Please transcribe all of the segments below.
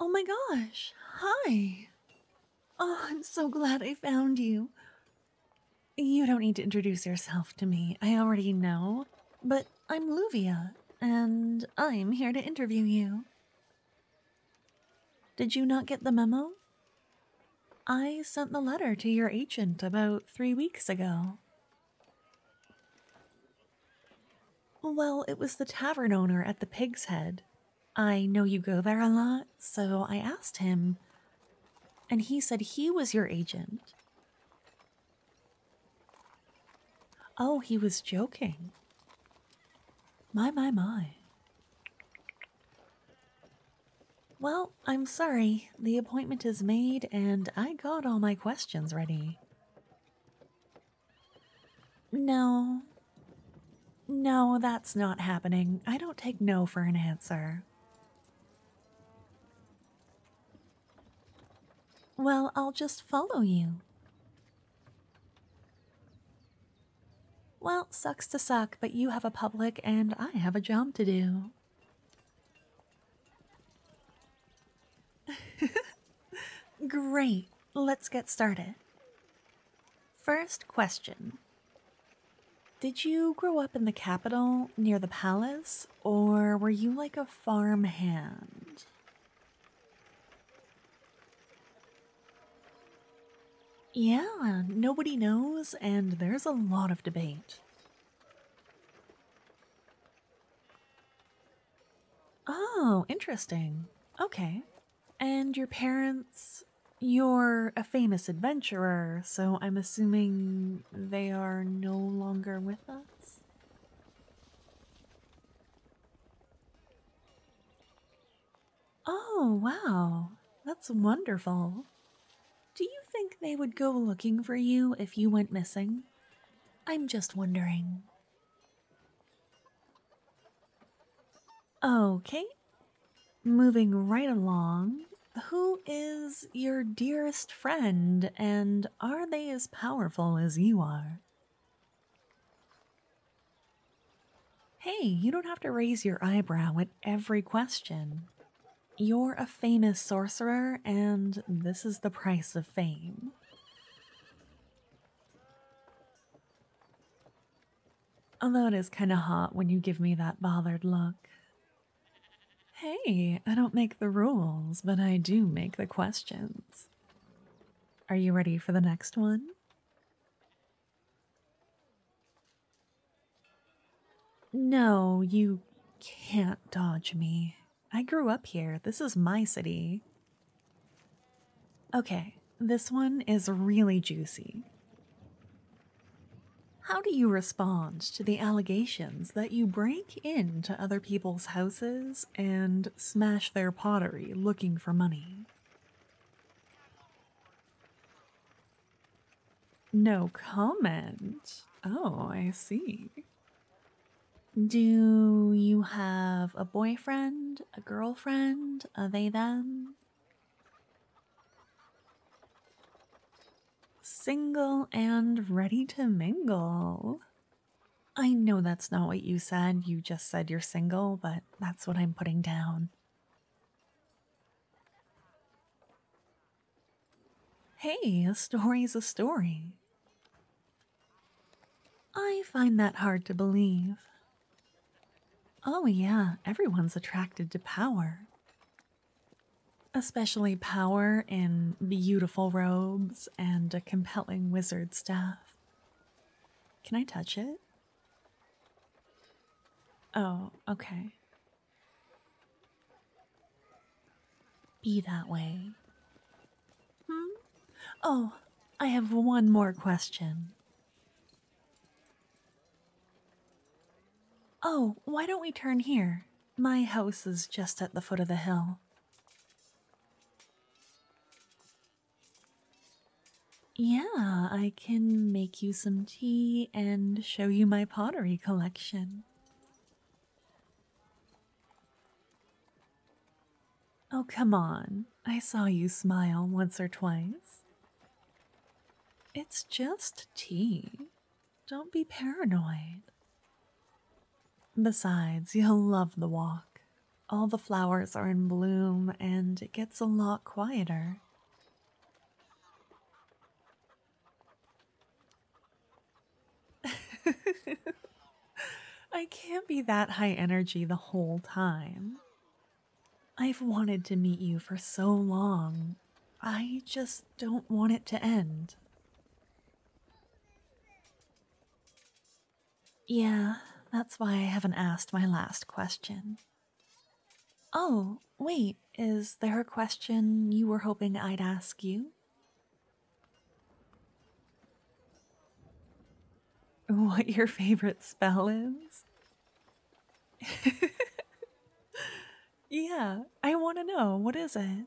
Oh my gosh, hi. Oh, I'm so glad I found you. You don't need to introduce yourself to me, I already know. But I'm Luvia, and I'm here to interview you. Did you not get the memo? I sent the letter to your agent about three weeks ago. Well, it was the tavern owner at the Pig's Head. I know you go there a lot, so I asked him, and he said he was your agent. Oh, he was joking. My, my, my. Well, I'm sorry. The appointment is made, and I got all my questions ready. No. No, that's not happening. I don't take no for an answer. Well, I'll just follow you. Well, sucks to suck, but you have a public and I have a job to do. Great. Let's get started. First question Did you grow up in the capital near the palace, or were you like a farm hand? Yeah, nobody knows, and there's a lot of debate. Oh, interesting. Okay. And your parents, you're a famous adventurer, so I'm assuming they are no longer with us? Oh, wow. That's wonderful. Do you think they would go looking for you if you went missing? I'm just wondering. Okay, moving right along. Who is your dearest friend, and are they as powerful as you are? Hey, you don't have to raise your eyebrow at every question. You're a famous sorcerer, and this is the price of fame. Although it is kind of hot when you give me that bothered look. Hey, I don't make the rules, but I do make the questions. Are you ready for the next one? No, you can't dodge me. I grew up here. This is my city. Okay, this one is really juicy. How do you respond to the allegations that you break into other people's houses and smash their pottery looking for money? No comment. Oh, I see. Do you have a boyfriend, a girlfriend, Are they, then Single and ready to mingle. I know that's not what you said. You just said you're single, but that's what I'm putting down. Hey, a story's a story. I find that hard to believe. Oh, yeah, everyone's attracted to power. Especially power in beautiful robes and a compelling wizard's staff. Can I touch it? Oh, okay be that way. Hmm? Oh, I have one more question. Oh, why don't we turn here? My house is just at the foot of the hill. Yeah, I can make you some tea and show you my pottery collection. Oh, come on. I saw you smile once or twice. It's just tea. Don't be paranoid. Besides, you'll love the walk. All the flowers are in bloom and it gets a lot quieter. I can't be that high energy the whole time. I've wanted to meet you for so long. I just don't want it to end. Yeah, that's why I haven't asked my last question. Oh, wait, is there a question you were hoping I'd ask you? What your favorite spell is? yeah, I want to know. What is it?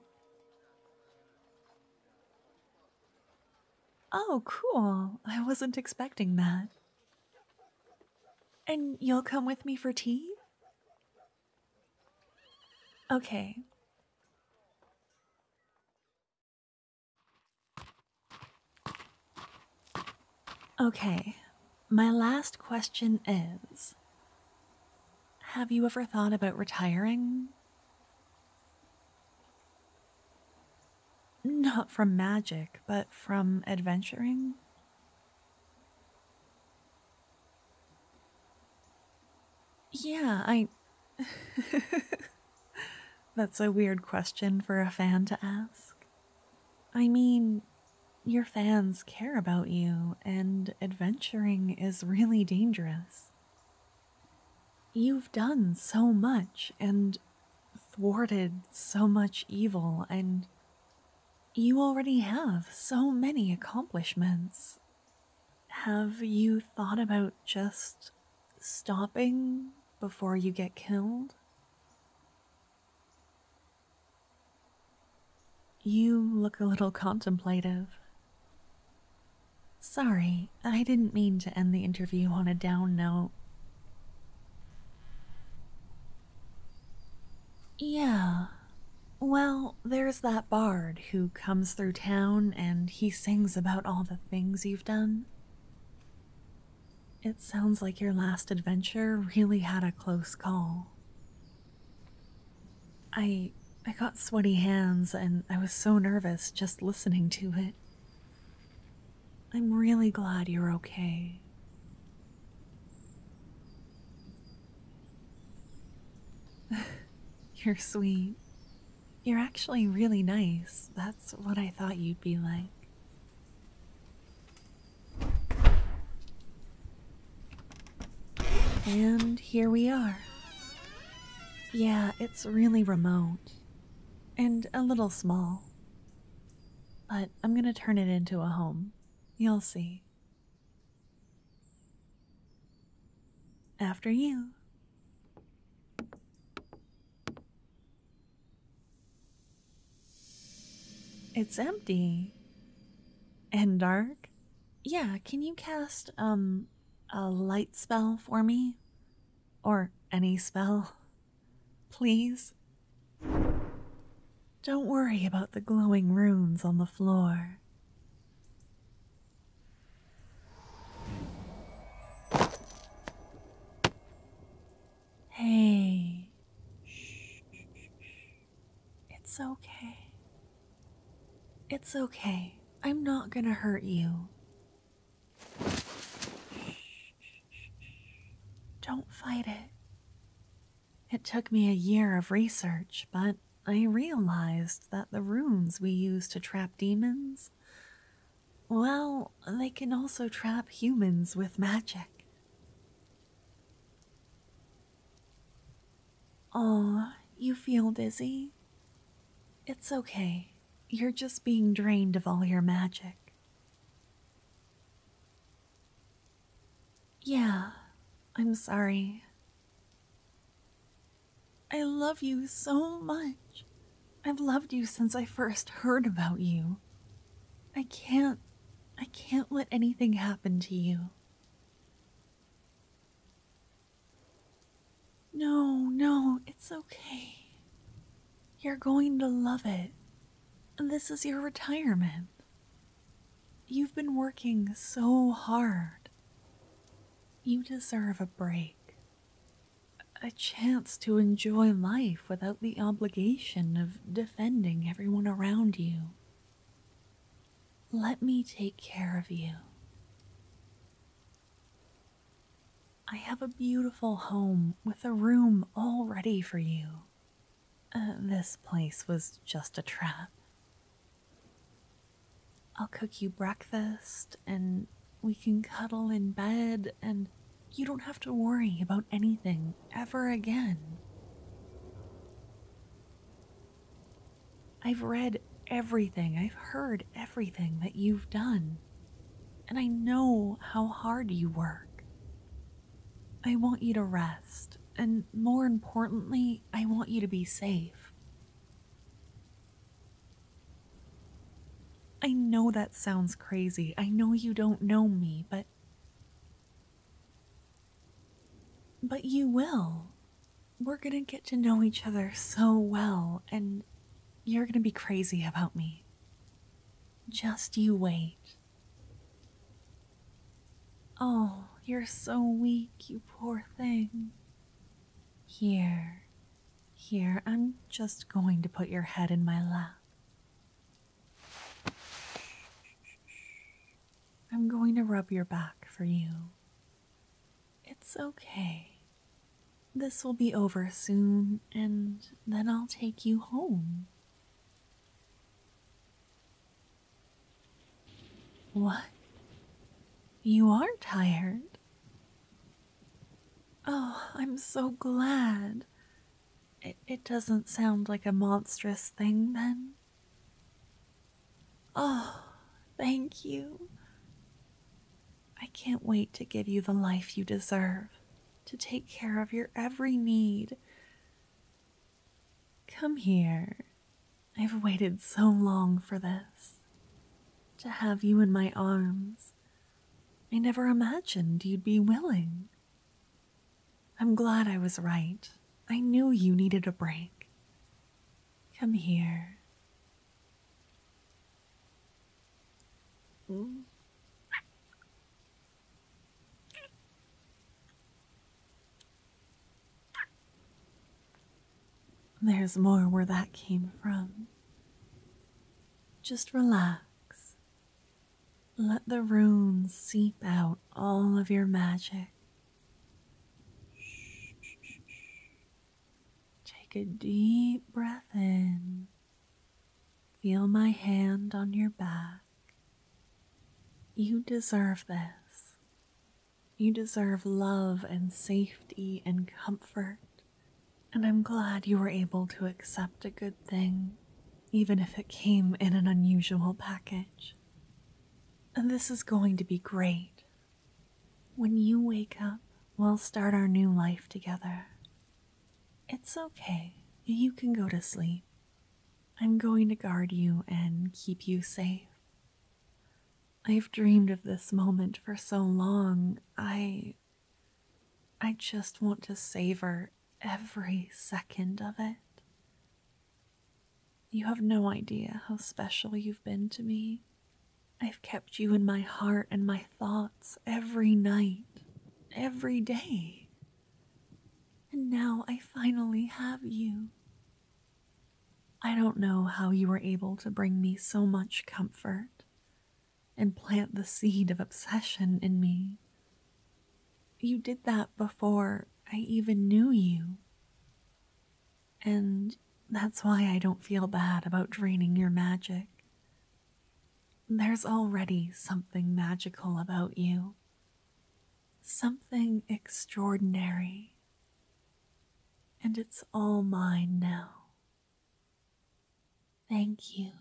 Oh, cool. I wasn't expecting that. And you'll come with me for tea? Okay. Okay, my last question is Have you ever thought about retiring? Not from magic, but from adventuring? Yeah, I. That's a weird question for a fan to ask. I mean, your fans care about you, and adventuring is really dangerous. You've done so much and thwarted so much evil, and you already have so many accomplishments have you thought about just stopping before you get killed? You look a little contemplative. Sorry, I didn't mean to end the interview on a down note. Yeah, well, there's that bard who comes through town and he sings about all the things you've done. It sounds like your last adventure really had a close call. I I got sweaty hands and I was so nervous just listening to it. I'm really glad you're okay. You're sweet. You're actually really nice. That's what I thought you'd be like. And here we are. Yeah, it's really remote. And a little small. But I'm gonna turn it into a home. You'll see. After you. It's empty. And dark? Yeah, can you cast, um, a light spell for me? Or any spell? Please? Don't worry about the glowing runes on the floor. Hey, it's okay. It's okay. I'm not gonna hurt you. Don't fight it. It took me a year of research, but I realized that the runes we use to trap demons, well, they can also trap humans with magic. Ah, you feel dizzy? It's okay. You're just being drained of all your magic. Yeah, I'm sorry. I love you so much. I've loved you since I first heard about you. I can't. I can't let anything happen to you. No, no, it's okay. You're going to love it. This is your retirement. You've been working so hard. You deserve a break. A chance to enjoy life without the obligation of defending everyone around you. Let me take care of you. I have a beautiful home with a room all ready for you uh, this place was just a trap. I'll cook you breakfast and we can cuddle in bed and you don't have to worry about anything ever again. I've read everything, I've heard everything that you've done, and I know how hard you work. I want you to rest, and more importantly, I, want you to be safe. I know that sounds crazy. I know you don't know me, but. But you will. We're gonna get to know each other so well, and you're gonna be crazy about me. Just you wait. Oh, you're so weak, you poor thing. Here, here, I'm just going to put your head in my lap. I'm going to rub your back for you. It's okay. This will be over soon, and then I'll take you home. What? You are tired. Oh, I'm so glad. It, doesn't sound like a monstrous thing then. Oh, thank you. I can't wait to give you the life you deserve, to take care of your every need. Come here. I've waited so long for this. To have you in my arms. I never imagined you'd be willing. I'm glad I was right. I knew you needed a break. Come here. Mm. There's more where that came from. Just relax. Let the runes seep out all of your magic. Take a deep breath in. Feel my hand on your back. You deserve this. You deserve love and safety and comfort, and I'm glad you were able to accept a good thing, even if it came in an unusual package. And this is going to be great. When you wake up, we'll start our new life together. It's okay, you can go to sleep. I'm going to guard you and keep you safe. I've dreamed of this moment for so long. I. I just want to savor every second of it. You have no idea how special you've been to me. I've kept you in my heart and my thoughts every night, every day. And now I finally have you. I don't know how you were able to bring me so much comfort and plant the seed of obsession in me. You did that before I even knew you. And that's why I don't feel bad about draining your magic. There's already something magical about you, something extraordinary, and it's all mine now. Thank you.